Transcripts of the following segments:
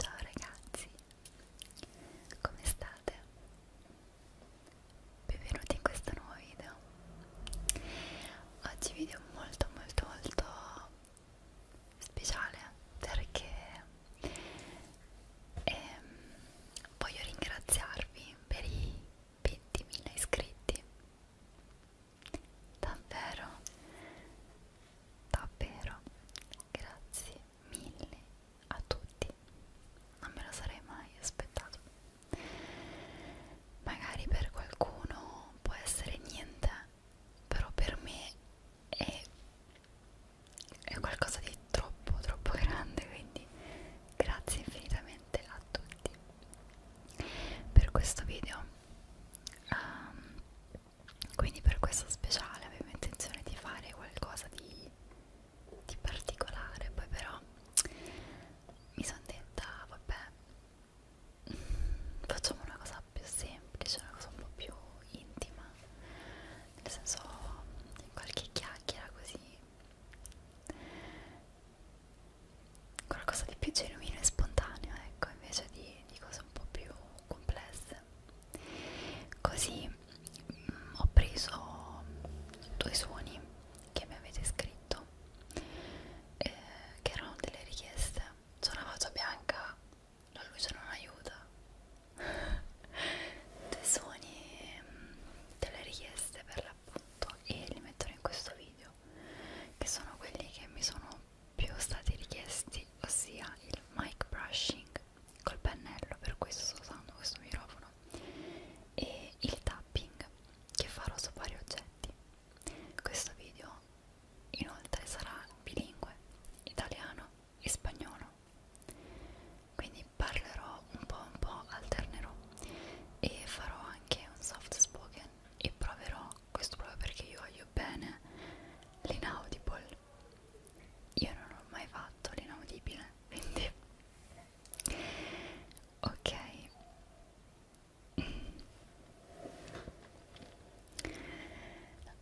Ciao ragazzi, come state? Benvenuti in questo nuovo video. Oggi video molto molto molto speciale perché e ehm, voglio ringraziarvi per i 20.000 iscritti davvero davvero grazie mille a tutti non me lo sarei mai aspettato magari per qualcuno può essere niente però per me e è qualcosa di troppo troppo grande quindi grazie infinitamente a tutti per questo video um, quindi per questo speciale avevo intenzione di fare qualcosa di, di particolare poi però mi sono detta vabbè facciamo una cosa più semplice una cosa un po' più intima nel senso qualche chiacchiera così qualcosa di più genuino e spontaneo ecco invece di, di cose un po' più complesse così mh, mm, ho preso due suoni che mi avete scritto eh, che erano delle richieste c'è una faccia bianca la luce non aiuta dei suoni mm, delle richieste per l'appunto e li metterò in questo video che sono quelli che mi sono più stati richiesti ossia il mic brushing col pennello per questo sto usando questo microfono e il tapping che farò su vari oggetti questo video inoltre sarà bilingue italiano e spagnolo quindi parlerò un po' un po' alternerò e farò anche un soft spoken e proverò questo proprio perché io voglio bene l'inaudible io non ho mai fatto l'inaudibile quindi ok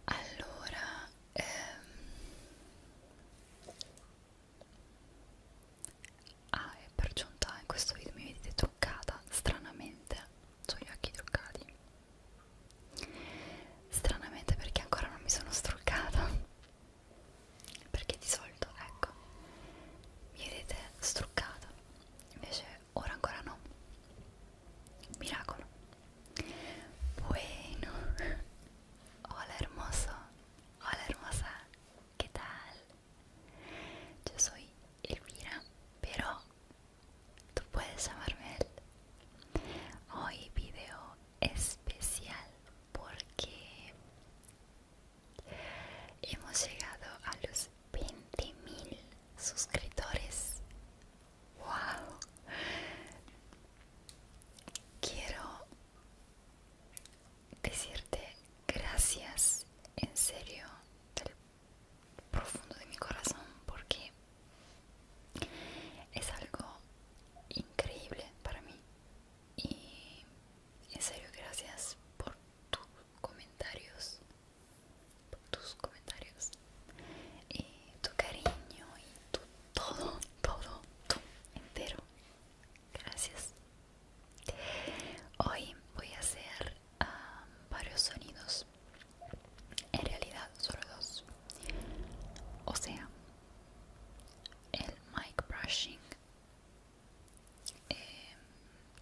allora ehm... ah e per giunta in questo video mi vedete truccata stranamente ho gli occhi truccati stranamente perché ancora non mi sono struccata perché di solito ecco mi vedete struccata invece ora ancora no miracolo Bueno, hola hermoso, hola hermosa, ¿qué tal? Yo soy Elvira, pero tú puedes llamarme él. Hoy video especial porque hemos llegado a los 20.000 suscriptores Wow. Quiero decirte gracias en serio del profundo de mi corazón porque es algo increíble para mí y en serio gracias por tus comentarios por tus comentarios y tu cariño y tu todo, todo, todo entero. Gracias. Hoy voy a hacer ah, varios sonidos. En realidad solo dos. O sea, el mic brushing, em,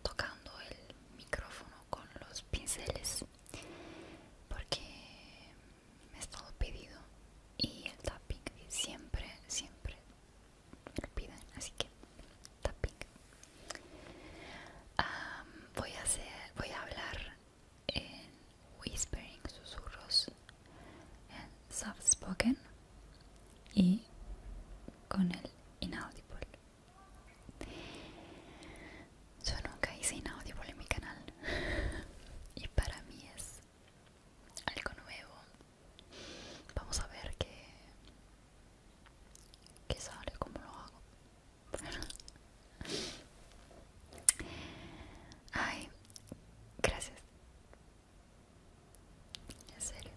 tocando el micrófono con los pinceles, porque me ha estado pedido y el tapping siempre, siempre me lo piden, así que tapping. voy, a hacer, voy a hablar en whispering, susurros, en soft spoken y con el inaudible. Yo nunca hice inaudible en mi canal y para mí es algo nuevo. Vamos a ver qué, sale, cómo lo hago. Ay, gracias. En serio.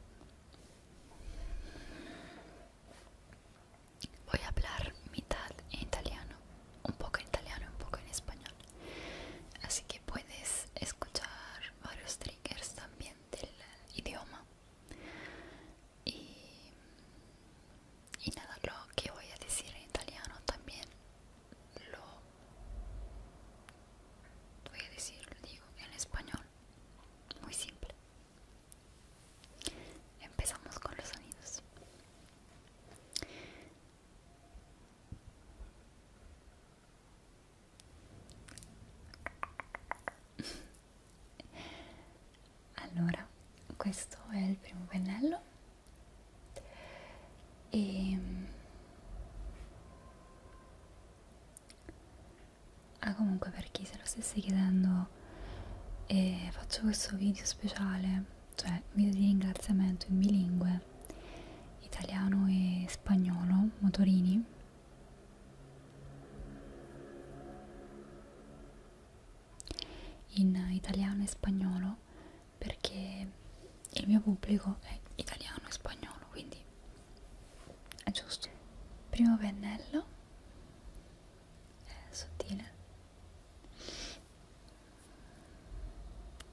Voy a hablar mitad en italiano un poco en italiano y un poco en español así que puedes escuchar varios triggers también del idioma y, nada lo que voy a decir en italiano también lo voy a decir lo digo en español muy simple empezamos con los sonidos allora questo è il primo pennello e mm, ah comunque per chi se lo stesse chiedendo eh, faccio questo video speciale cioè video di ringraziamento in bilingue italiano e spagnolo motorini in italiano e spagnolo perché il mio pubblico è italiano e spagnolo quindi è giusto primo pennello è sottile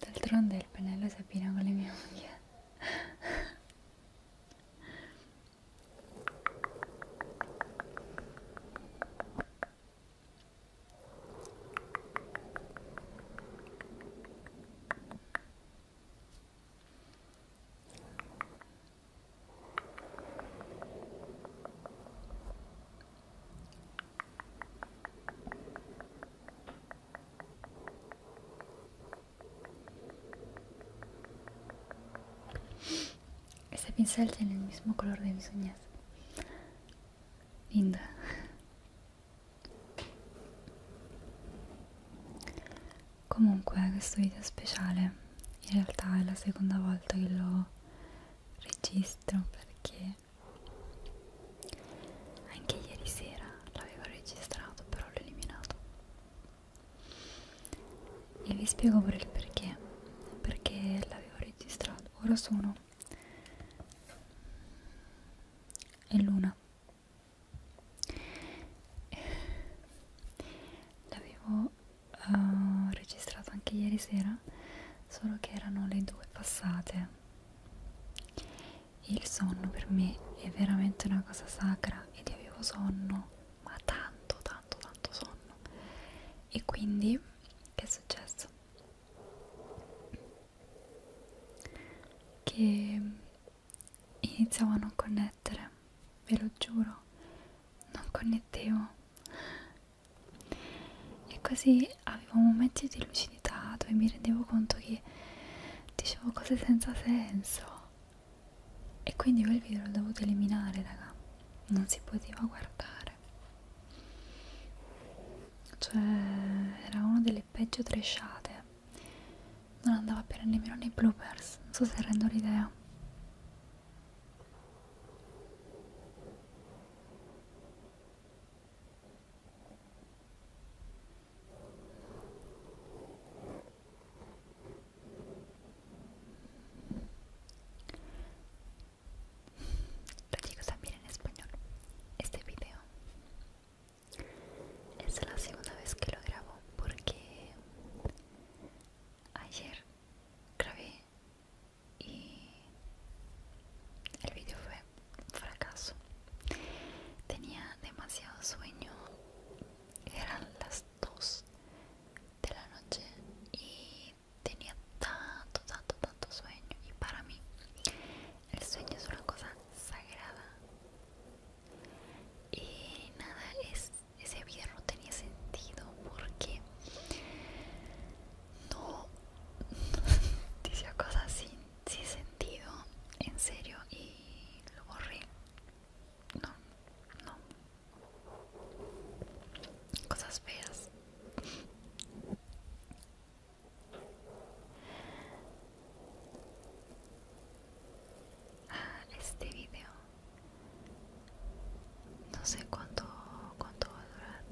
del tron del panel se pira con la mie Ese pincel tiene el mismo color de mis uñas. Linda. Comunque questo video speciale in realtà è la seconda volta che lo registro perché anche ieri sera l'avevo registrato però l'ho eliminato e vi spiego pure il perché perché l'avevo registrato ora sono è l'una l'avevo uh, registrato anche ieri sera solo che erano le due passate il sonno per me è veramente una cosa sacra ed io avevo sonno, ma tanto, tanto, tanto sonno. E quindi, che è successo? Che iniziavo a non connettere, ve lo giuro, non connettevo. E così avevo momenti di lucidità dove mi rendevo conto che dicevo cose senza senso e quindi quel video l'ho dovuto eliminare raga non si poteva guardare cioè era una delle peggio tresciate non andava bene nemmeno nei bloopers non so se rendo l'idea Lo digo también en español. Este video es la segunda vez que lo grabo porque ayer grabé y el video fue fracaso. Tenía demasiado sueño, eran las 2 de la noche y tenía tanto, tanto, tanto sueño. Y para mí, el sueño es una cosa sagrada. Y nada, es, ese video no tenía sentido porque no dice cosas así sí sentido, en serio, y lo borré. No, no. Cosas feas. Ah, este video. No sé cuánto, cuánto va a durar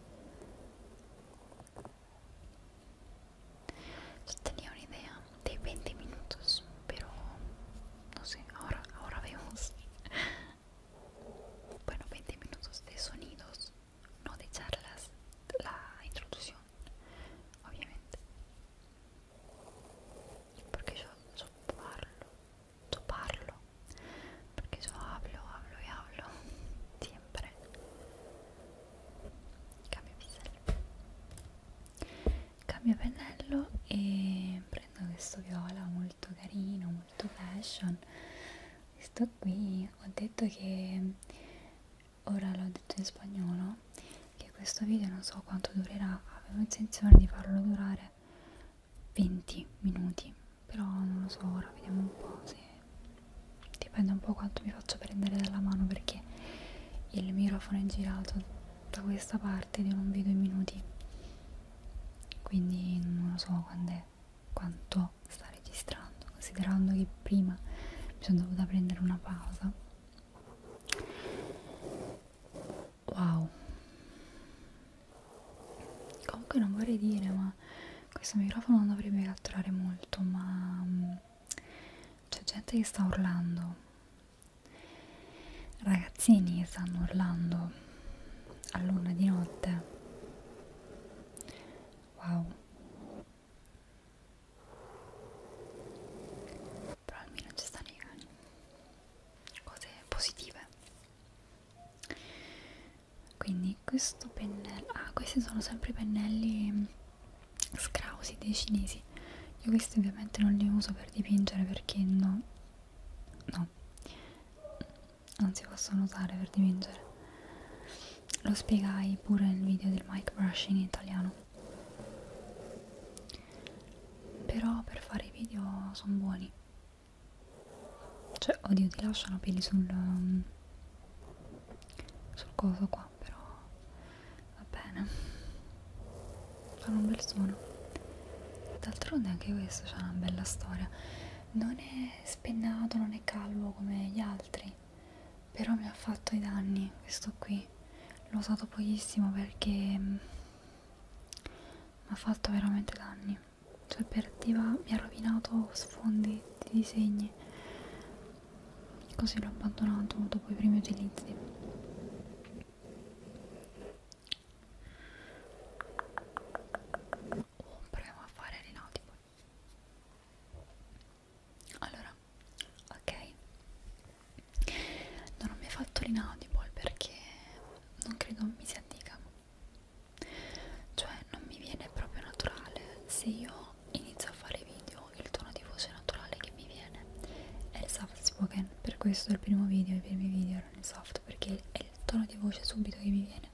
tenía una idea de 20 minutos, pero no sé, ahora, ahora vemos. Bueno, 20 minutos de sonidos, no de charlas, la introducción, obviamente. Porque yo, yo parlo, yo parlo, porque yo hablo, hablo y hablo siempre. cambio pisello cambio pennello e prendo questo viola molto carino molto fashion questo qui ho detto che ora l'ho detto in spagnolo che questo video non so quanto durerà avevo intenzione di farlo durare 20 minuti però non lo so ora vediamo un po' se dipende un po' quanto mi faccio prendere dalla mano perché il microfono è girato da questa parte di non vedo i minuti quindi non lo so è, quanto sta registrando considerando che prima mi sono dovuta prendere una pausa wow comunque non vorrei dire ma questo microfono non dovrebbe catturare molto ma mm, c'è gente che sta urlando ragazzini che stanno urlando a luna di notte wow però almeno ci stanno i cani cose positive quindi e questo pennello ah questi sono sempre pennelli scrausi dei cinesi io questi ovviamente non li uso per dipingere perché no no non si possono usare per dipingere lo spiegai pure nel video del mic brushing in italiano però per fare i video sono buoni cioè oddio ti lasciano peli sul sul coso qua però va bene fanno un bel suono d'altronde anche questo c'ha una bella storia non è spennato non è calvo come gli altri però mi ha fatto i danni questo qui l'ho usato pochissimo perché mm, mi ha fatto veramente danni cioè per diva mi ha rovinato sfondi di disegni così l'ho abbandonato dopo i primi utilizzi oh, proviamo a fare Renotipo allora ok non ho mai fatto Renotipo perché non credo mi si addica cioè non mi viene proprio naturale se io quando inizio a fare video il tono di voce naturale che mi viene è il soft spoken per questo il primo video, i primi video erano in soft perché è il tono di voce subito che mi viene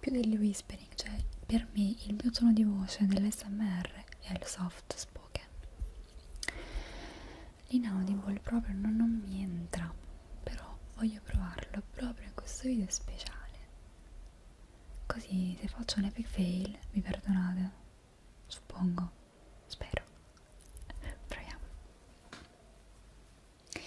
più del whispering cioè per me il mio tono di voce dell'SMR è il soft spoken l'inaudible proprio non, non mi entra però voglio provarlo proprio in questo video speciale Così se faccio un epic fail mi perdonate, suppongo, spero. Proviamo. Che bello.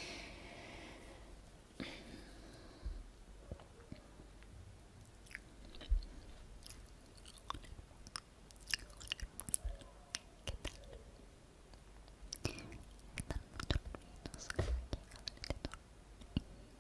Dal punto di vista, so che volete tornare.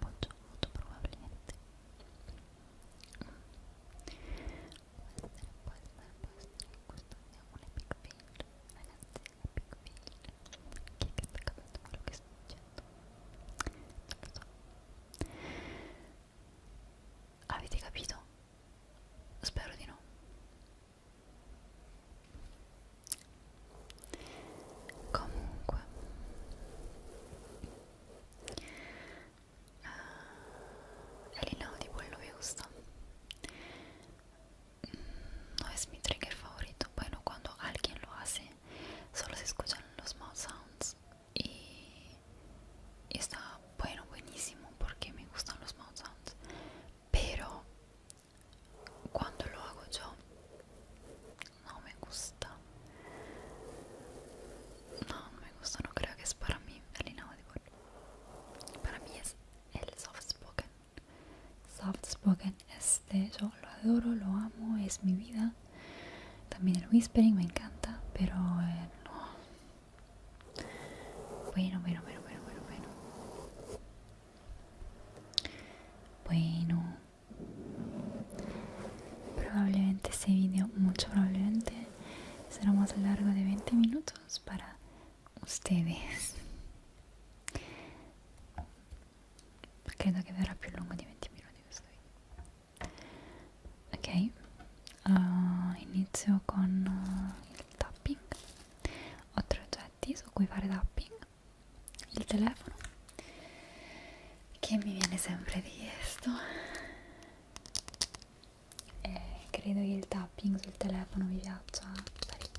molto molto probabilmente può essere, può essere, può essere che questo sia un epic fail ragazzi, epic fail chi è che sta capendo quello che sto dicendo? non lo so avete capito? spero di no comunque Ah, el me gusta. Mm, no es mi trigger favorito, bueno, cuando alguien lo hace, solo se escuchan los mouth sounds y está bueno, buenísimo, porque me gustan los mouth sounds, pero cuando lo hago yo no me gusta no, no me gusta, no creo que es para mí el inaudible para mí es el soft spoken soft spoken este yo lo adoro, lo amo, es mi vida también el whispering me encanta pero eh, no bueno, bueno, bueno, bueno, bueno bueno Probablemente este video, mucho probablemente, será más largo de 20 minutos para ustedes. Credo che verrà più lungo di 20 minuti questo video. Ok, uh, inizio con uh, il tapping. Ho tre oggetti su cui fare tapping il telefono che mi viene sempre richiesto e credo che il tapping sul telefono mi piaccia parecchio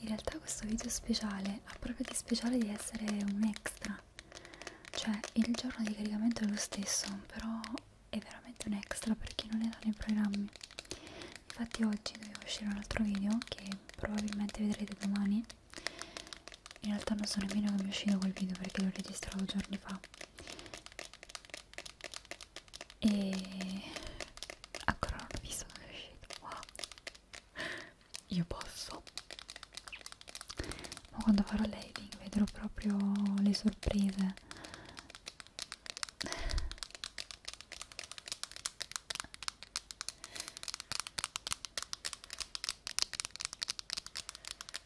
In realtà questo video speciale ha proprio di speciale di essere un extra, cioè il giorno di caricamento è lo stesso, però è veramente un extra per chi non era nei programmi infatti oggi doveva uscire un altro video che probabilmente vedrete domani in realtà non so nemmeno che mi è uscito quel video perché l'ho registrato giorni fa e ancora non ho visto dove è uscito wow io posso ma quando farò l'editing vedrò proprio le sorprese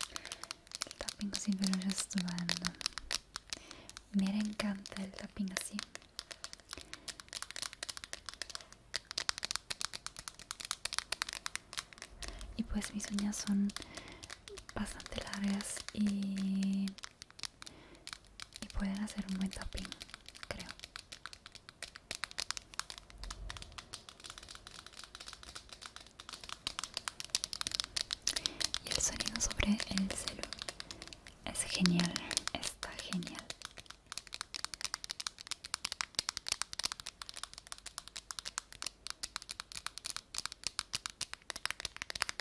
El tapping così veloce è stupendo. Me encanta el tapping así Y pues mis uñas son bastante largas y y pueden hacer un buen creo y el sonido sobre el celular es genial está genial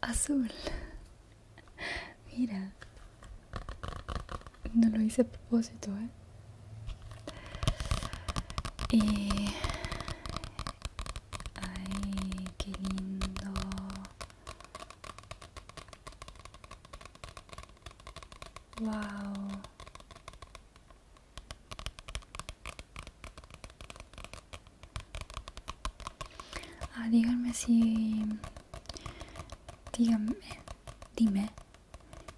azul. Mira, no lo hice a propósito, ¿eh? eh ay, qué lindo. Wow. Ah, díganme si... Díganme, dime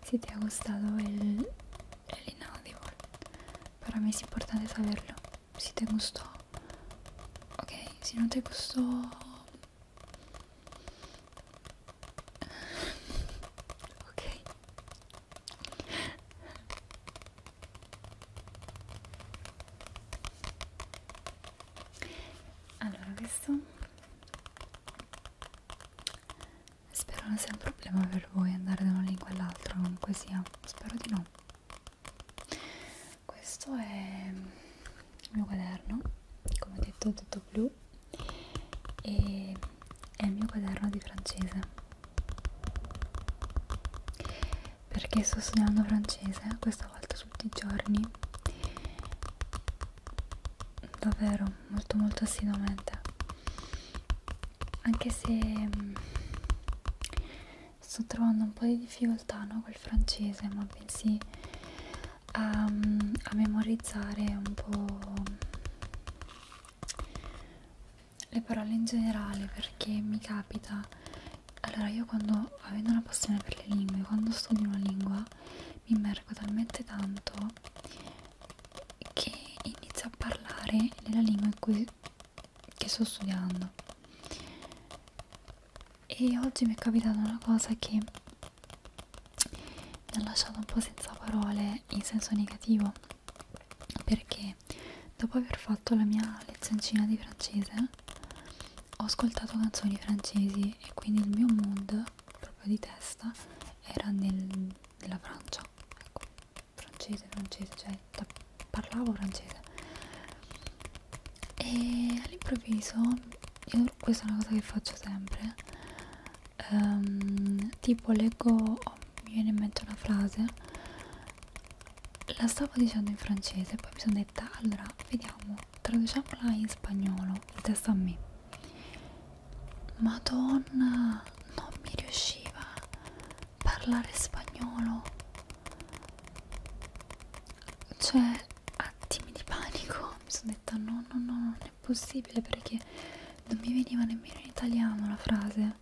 si te ha gustado el, el inaudible. Para mí es importante saberlo. Si te gustó. Ok, si no te gustó... Ok. allora questo spero non sia un problema per voi andare da una lingua all'altra comunque sia spero di no questo è il mio quaderno come ho detto tutto blu e è il mio quaderno di francese perché sto studiando francese questa volta tutti i giorni davvero molto molto assiduamente anche se mh, mm, sto trovando un po' di difficoltà no, col francese ma bensì a, mm, a memorizzare un po' le parole in generale perché mi capita allora io quando avendo una passione per le lingue quando studio una lingua mi immergo talmente tanto che inizio a parlare nella lingua in cui che sto studiando e oggi mi è capitata una cosa che mi ha lasciato un po' senza parole in senso negativo perché dopo aver fatto la mia lezioncina di francese ho ascoltato canzoni francesi e quindi il mio mood proprio di testa era nel, nella Francia ecco, francese, francese, cioè parlavo francese e all'improvviso io, questa è una cosa che faccio sempre um, tipo leggo, oh, mi viene in mente una frase la stavo dicendo in francese poi mi sono detta allora vediamo traduciamola in spagnolo il testo a me madonna non mi riusciva a parlare spagnolo cioè attimi di panico mi sono detta no no no non è possibile perché non mi veniva nemmeno in italiano la frase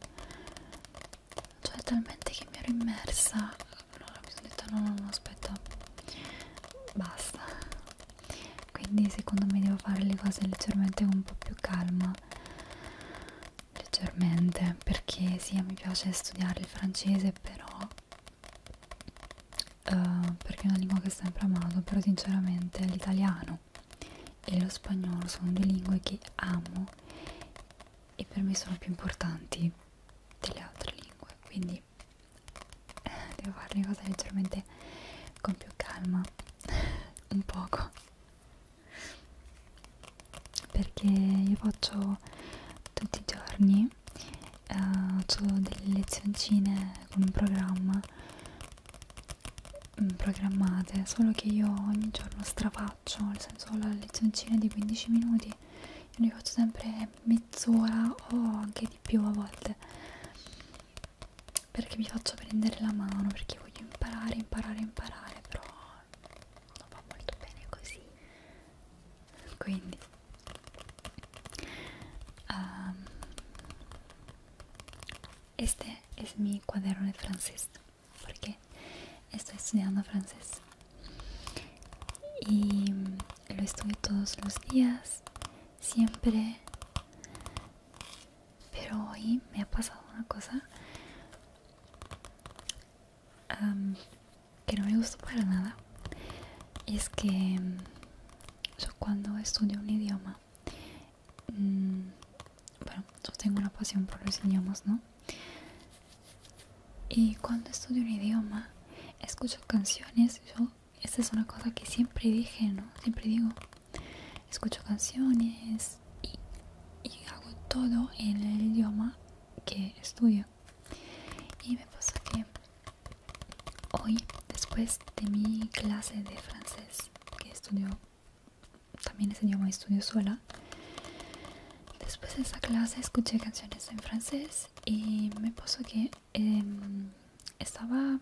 cioè talmente che mi ero immersa allora mi sono detta no no no aspetta basta quindi secondo me devo fare le cose leggermente un po' più calma leggermente perché sì mi piace studiare il francese però uh, perché è una lingua che ho sempre amato però sinceramente l'italiano e lo spagnolo sono due lingue che amo e per me sono più importanti delle altre lingue quindi eh, devo fare le cose leggermente con più calma un poco perché io faccio tutti i giorni eh, faccio eh, delle lezioncine con un programma mm, programmate solo che io ogni giorno strafaccio faccio, nel senso ho le lezioncine di 15 minuti, io ne faccio sempre mezz'ora o anche di più a volte perché mi faccio prendere la mano, perché voglio imparare, imparare, imparare, però non va molto bene così. Quindi um, este es mi cuaderno de francés, porque estoy estudiando francés y lo estudio todos los días siempre pero hoy me ha pasado una cosa que no me gustó para nada y es que mm, yo cuando estudio un idioma mm, bueno yo tengo una pasión por los idiomas no y cuando estudio un idioma, escucho canciones. Yo, esta es una cosa que siempre dije, ¿no? Siempre digo, escucho canciones y, hago todo en el idioma que estudio. Y me pasa que hoy, después de mi clase de francés, que estudio también ese idioma, estudio sola, Después de esa clase escuché canciones en francés y me puso que em, estaba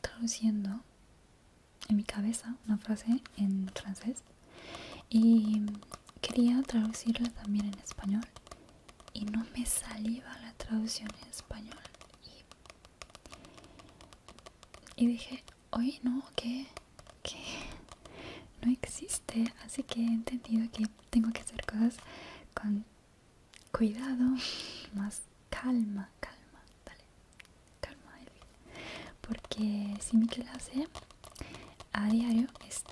traduciendo en mi cabeza una frase en francés y quería traducirla también en español y no me salía la traducción en español y, y dije hoy no, que, no existe, así que he entendido que tengo que hacer cosas con cuidado, más calma, calma, dale, calma, Porque si mi clase a diario es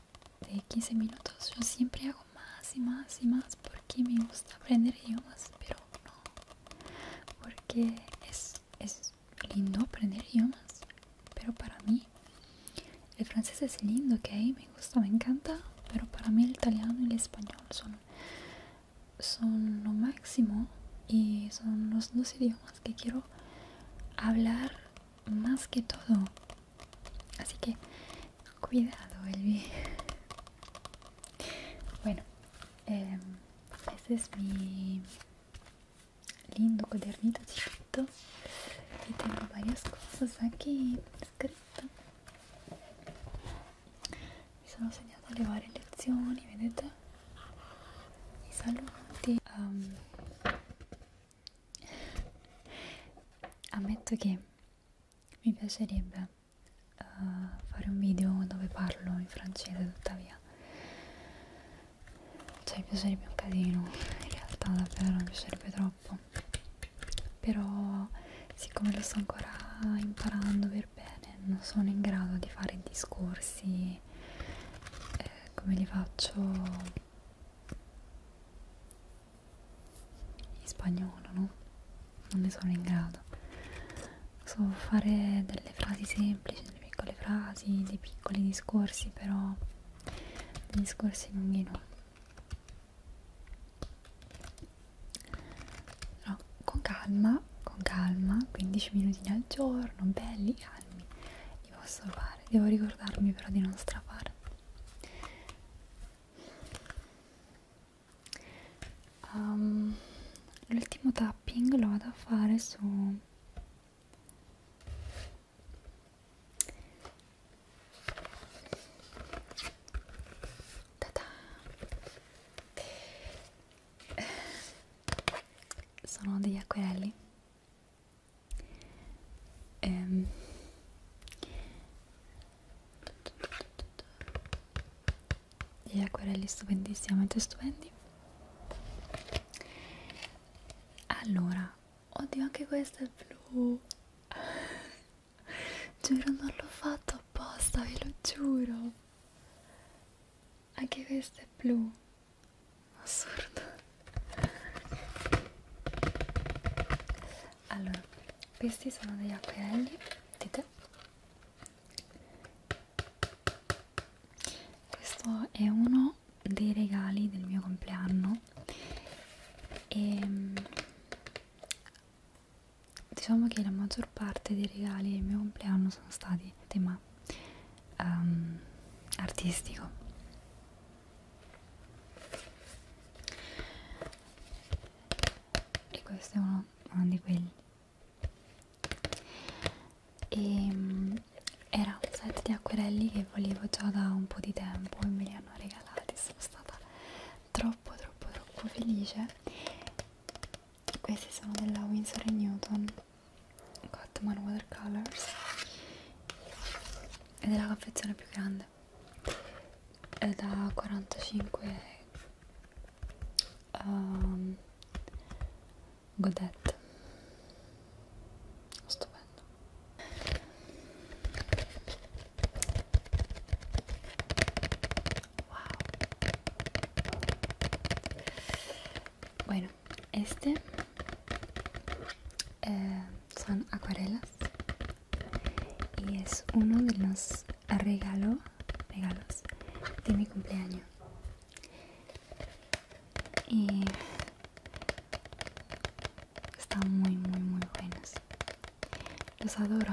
de 15 minutos, yo siempre hago más y más y más porque me gusta aprender idiomas, pero no, porque es es lindo aprender idiomas, pero para mí el francés es lindo, ok, me gusta, me encanta, pero para mí el italiano y el español son, son lo máximo y son los dos idiomas que quiero hablar más que todo. Así que cuidado, Elvi. Bueno, em, ese es mi lindo caderninho do Tito e tem várias coisas aqui scritte mi sono segnata le varie lezioni vedete i saluti um, ammetto che mi piacerebbe uh, fare un video dove parlo in francese tuttavia cioè mi piacerebbe un casino in realtà davvero mi piacerebbe troppo però siccome lo sto ancora imparando per bene non sono in grado di fare discorsi eh, come li faccio in spagnolo no? non ne sono in grado so fare delle frasi semplici delle piccole frasi, dei piccoli discorsi, però dei discorsi bambino. No, con calma, con calma, 15 minuti al giorno, belli, calmi, li posso fare, devo ricordarmi però di non strafare. Um, ehm, L'ultimo tapping lo vado a fare su Ta-da! Eh, sono degli acquerelli ehm. degli acquerelli stupendissimamente stupendi allora oddio anche questo è blu giuro non l'ho fatto apposta ve lo giuro anche questo è blu assurdo allora questi sono degli acquerelli vedete questo è uno dei regali del mio compleanno e ehm, diciamo che la maggior parte dei regali del mio compleanno sono stati tema um, artistico e questo è uno, uno di quelli e mm, era un set di acquerelli che volevo già da un po' di tempo e me li hanno regalati sono stata troppo troppo troppo felice questi sono della Winsor Newton Cotman Watercolors ed è la confezione più grande è da 45 um, ehm, Godet. Bueno, este eh, son acuarelas y es uno de los regalos de mi cumpleaños y están muy muy muy buenos los adoro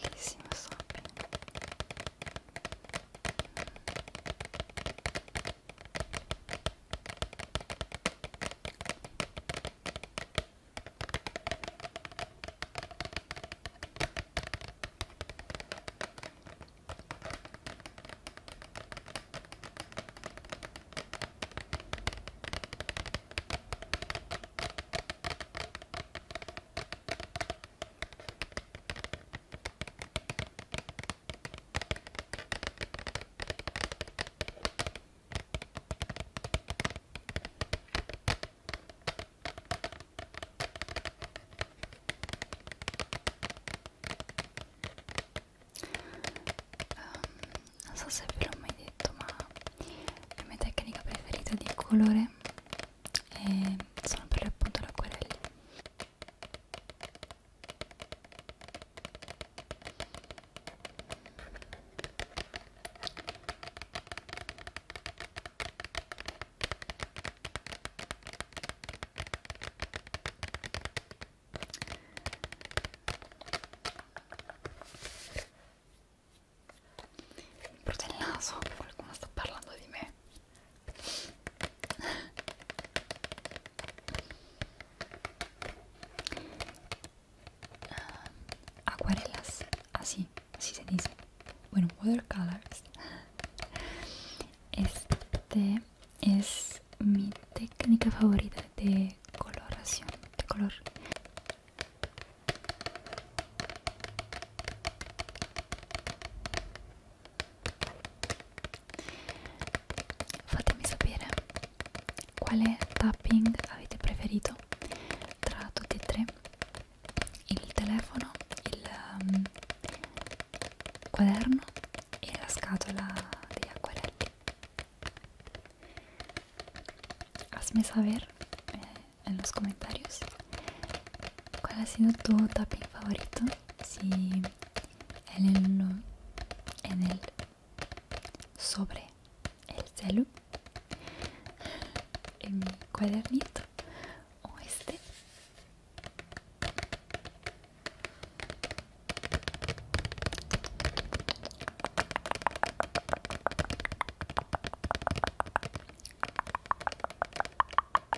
bellissimo sapere Um, non so se ve l'ho mai detto ma la mia tecnica preferita di colore e eh, sono per l'appunto l'acquerelli per il naso qualcuno sta parlando di me Ah, acuarelas, así, así se dice. Bueno, watercolors. Este es mi técnica favorita de coloración, de color. Fatemi sapere quale tapping avete preferito tra tutti e tre, il telefono, il um, quaderno e la scatola degli acquerelli. Hazme saber eh, en los comentarios cuál ha sido tu tapping favorito si en el, en el sobre el celu en mi cuadernito o este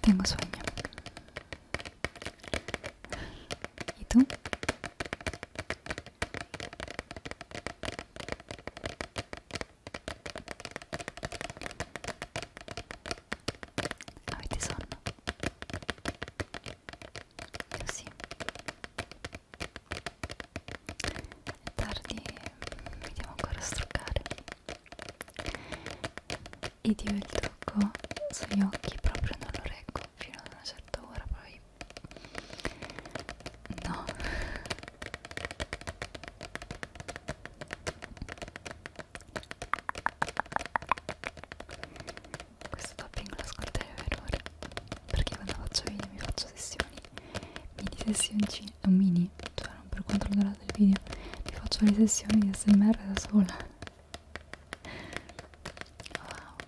Tengo sueño. ¿Y tú? Avete son. sí è tardi mi devo ancora struccare e dio il trucco sugli occhi proprio non lo reggo fino a una certa ora poi no questo topping lo ascolterei per ore perché quando faccio video mi faccio sessioni mini sessioncine è un mini, cioè non per quanto lo durata del video, ti faccio le sessioni di smr da sola. Wow.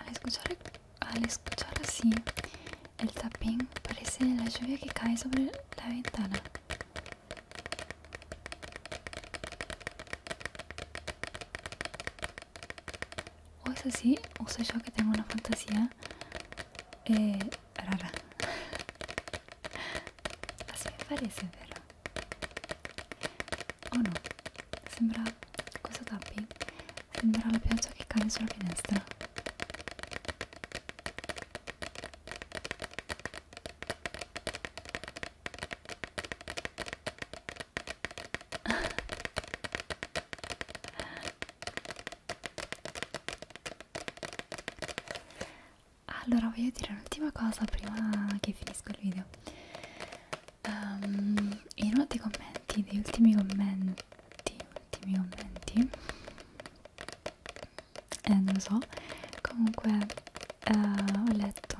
Al escuchar, escuchar así, el tapping, parece la lluvia que cae sobre la ventana. O es así, o soy yo que tengo una fantasía eh, raga la sua parese è vera oh no sembra cosa tappi? sembra la pioggia che cade sulla finestra allora voglio dire un'ultima cosa prima che finisco il video um, in uno dei commenti degli ultimi commenti ultimi commenti eh, non lo so comunque uh, ho letto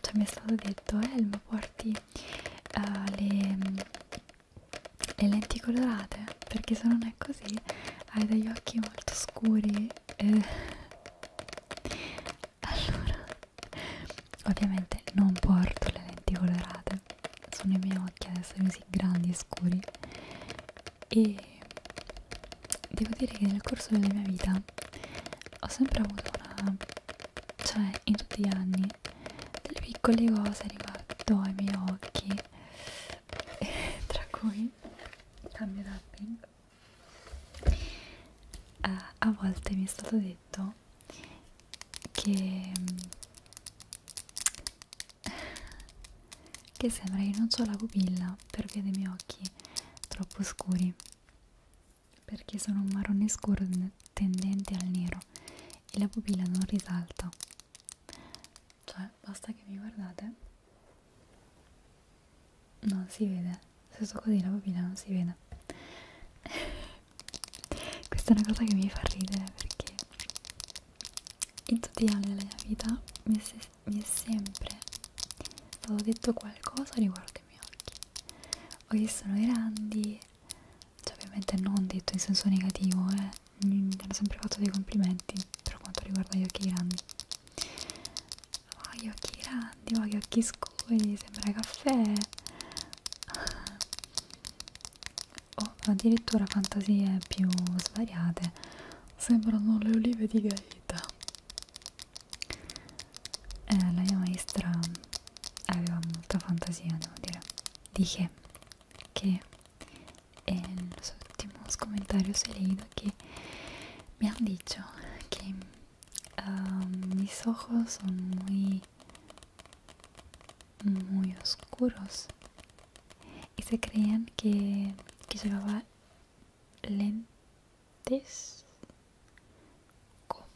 cioè mi è stato detto Elma eh, porti uh, le le lenti colorate perché se non è così hai degli occhi molto scuri eh. allora ovviamente non porto le lenti colorate sono i miei occhi adesso così grandi e scuri e devo dire che nel corso della mia vita ho sempre avuto una cioè in tutti gli anni delle piccole cose riguardo ai miei occhi tra cui cambio tapping uh, a volte mi è stato detto che, che sembra che non ho la pupilla per via dei miei occhi troppo scuri perché sono un marrone scuro tendente al nero e la pupilla non risalta cioè basta che mi guardate non si vede se sto così la bobina non si vede questa è una cosa che mi fa ridere perché in tutti gli anni della mia vita mi è, se mi è sempre stato detto qualcosa riguardo ai miei occhi o che sono grandi cioè ovviamente non detto in senso negativo eh. mi hanno sempre fatto dei complimenti per quanto riguarda gli occhi grandi oh gli occhi grandi, oh gli occhi scuri, sembra caffè o oh, addirittura fantasie più svariate sembrano le olive di Gaeta eh, la mia maestra aveva molta fantasia devo dire di che che en los últimos comentarios he leído que me han dicho que um, mis ojos son muy muy oscuros y se creían que, que llevaba lentes como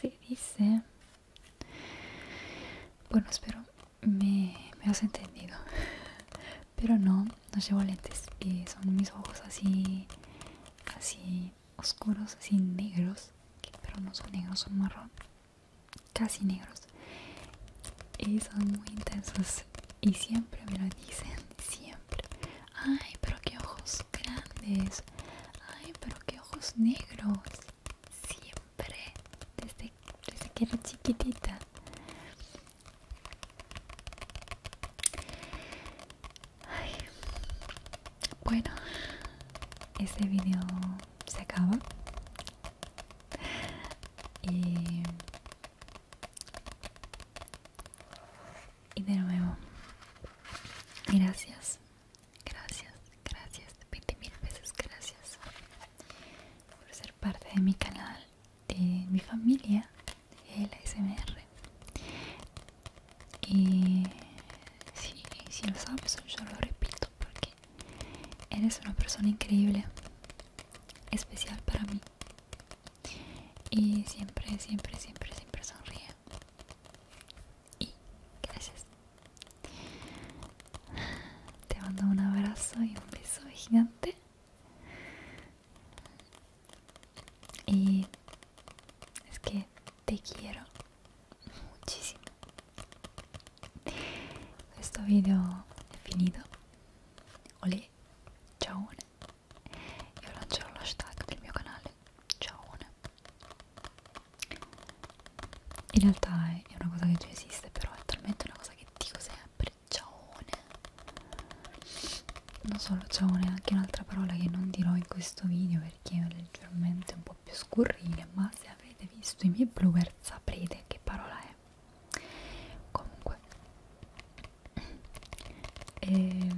se dice bueno espero me, has entendido. Pero no, no llevo lentes. Y son mis ojos así, así oscuros, así negros. pero no son negros, son marrón. Casi negros. Y son muy intensos. Y siempre me lo dicen, siempre. Ay, pero qué ojos grandes. Ay, pero qué ojos negros siempre desde, que era chiquitita bueno este video se acaba y, y de nuevo gracias gracias gracias 20 mil veces gracias por ser parte de mi canal, de mi familia, de la SMR. Y si, lo sabes, yo lo repito porque eres una persona increíble, especial para mí. Y siempre, siempre, siempre, siempre sonríe. Y gracias. Te mando un abrazo y un beso gigante. Y es que te quiero muchísimo. Questo video è finito. Olè, ciao. Io lancio l'hashtag del mio canale. Ciao. In realtà è una cosa che già esiste, però è talmente una cosa che spaghetti cos'è? Briccione non solo ciaone, anche un'altra parola che non dirò in questo video perché è leggermente un po' più scurrile ma se avete visto i miei blooper saprete che parola è comunque e,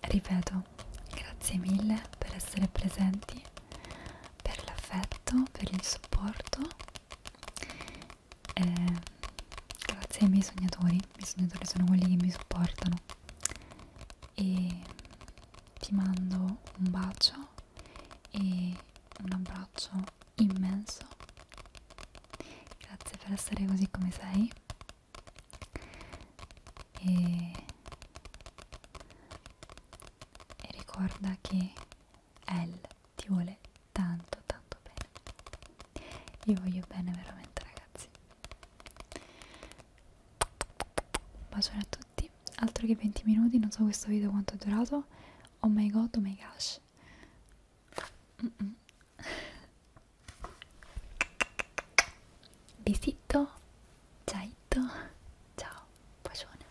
ripeto grazie mille per essere presenti per l'affetto per il supporto eh, grazie ai miei sognatori, i miei sognatori sono quelli che mi supportano e ti mando un bacio e un abbraccio immenso grazie per essere così come sei e, e ricorda che Elle ti vuole tanto tanto bene. Io voglio bene veramente ragazzi. Un bacione a tutti, altro che 20 minuti, non so questo video quanto è durato. Oh my god, oh my gosh. Mm -mm. Besito, ciao, ciao, bacione.